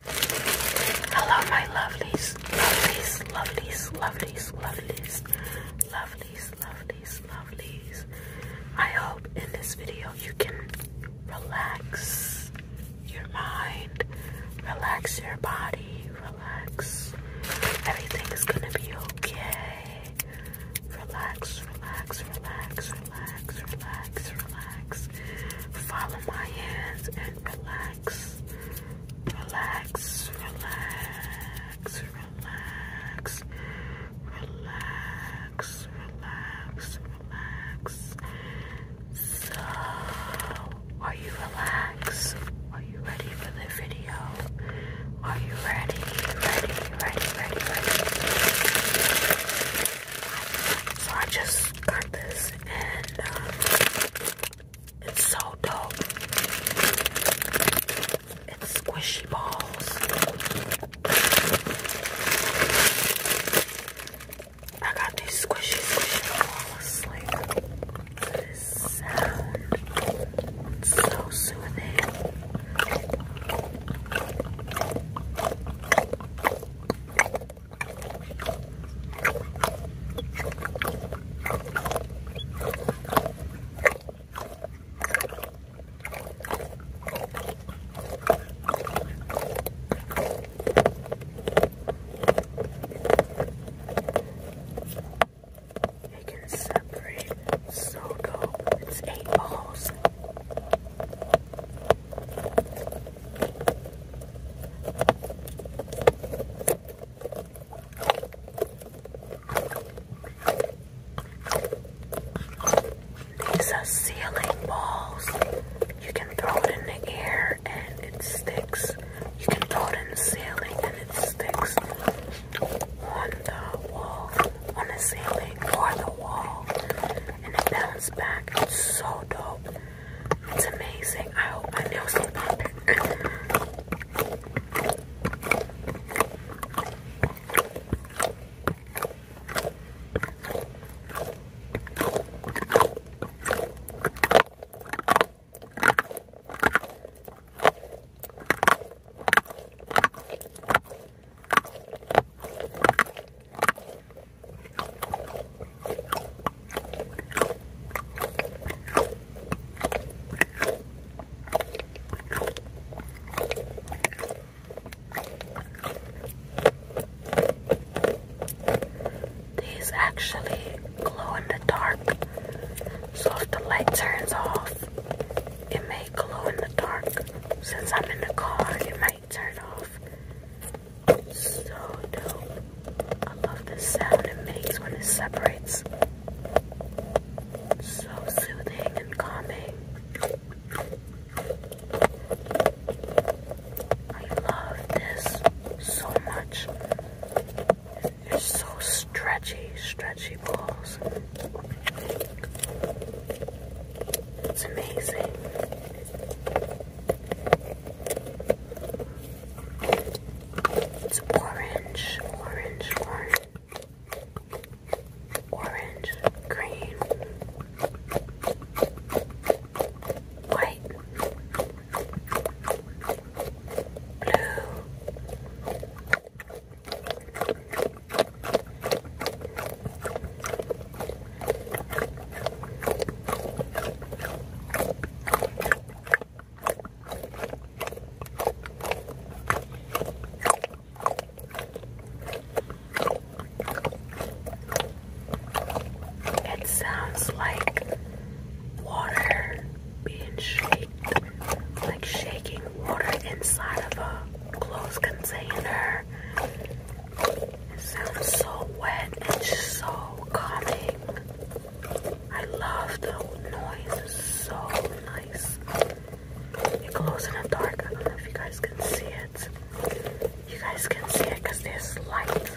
Hello, my lovelies, lovelies, lovelies, lovelies, lovelies, lovelies, lovelies, lovelies. I hope in this video you can relax your mind, relax your body, relax. Everything is gonna be okay. Relax, relax, relax, relax, relax, relax. Follow my hands and relax. Relax, relax, relax, relax, relax, relax. So, are you relaxed? Are you ready for the video? Are you ready? Ready, ready, ready, ready. So I just got this and um, it's so dope. It's squishy balls. I got these squishy, squishy balls. Like this sound, it's so soothing. You can separate so dope. It's eight balls. These are ceiling balls. You can throw it in the air and it sticks. You can throw it in the ceiling and it sticks on the wall, on the ceiling or the wall, and it bounces back. It's so dope. It's amazing. I hope my nails don't pop. These actually glow in the dark, so if the light turns off, it may glow in the dark. Since I'm in the car, it might Turn off. So dope. I love the sound it makes when it separates. So soothing and calming. I love this so much. They're so stretchy, stretchy balls. It's amazing. It's orange, orange, orange, orange, green, white, blue. That sounds like water being shaken, like shaking water inside of a closed container. It sounds so wet and just so calming. I love the noise. It's so nice. It glows in the dark. I don't know if you guys can see it. You guys can see it there's light.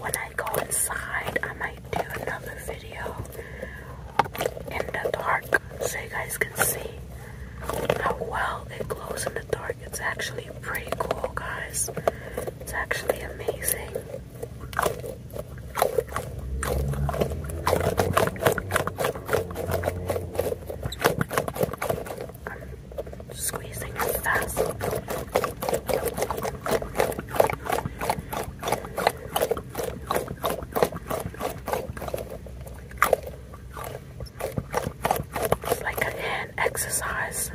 When I go inside, I might do another video in the dark so you guys can see how well it glows in the dark. It's actually pretty cool, guys. It's actually amazing. squeezing it fast like a hand exercise.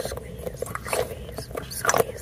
Squeeze, squeeze, squeeze.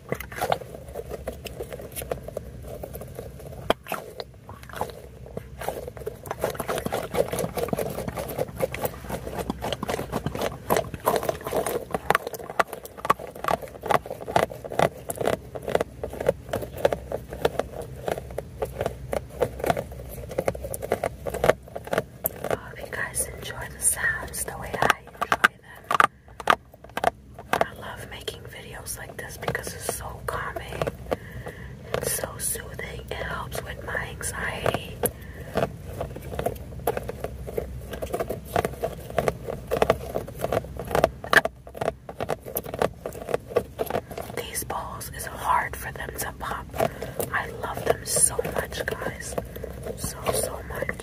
I hope you guys enjoy the sounds the way I enjoy them. I love making videos like this because it's so calming. It's so soothing. It helps with my anxiety. These balls is hard for them to pop. I love them so much, guys. So, so much.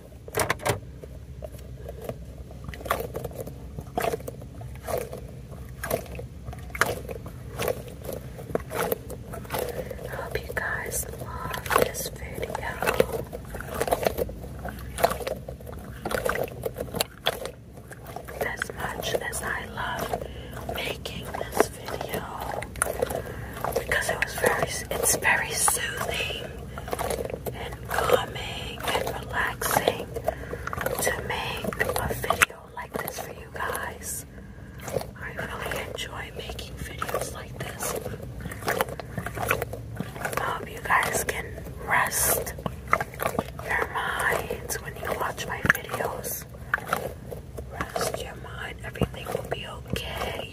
I hope you guys love this video. As much as I love making this video because it was very it's very soothing and calming and relaxing to make a video like this for you guys. I really enjoy making videos like this. I hope you guys can rest your minds when you watch my videos. Rest your mind, everything will be okay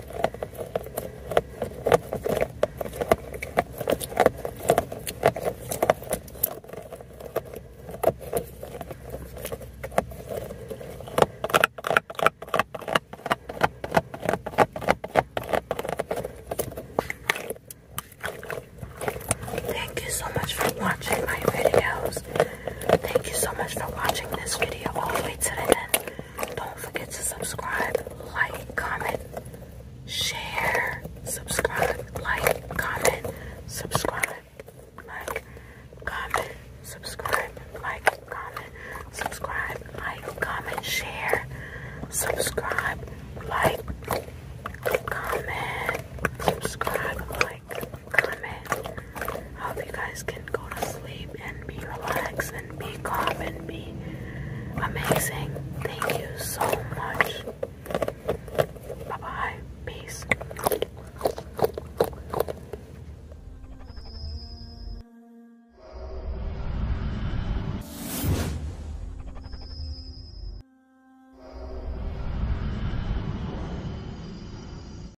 Thank you so much for watching my videos. Thank you so much for watching this video all the way to the end. Don't forget to subscribe, like, comment, share, subscribe, like, comment, subscribe, like, comment, subscribe, like, comment, subscribe, like, comment, share, subscribe, like, comment, subscribe, like. I hope you guys can go to sleep and be relaxed and be calm and be amazing. Thank you so much. Bye bye. Peace.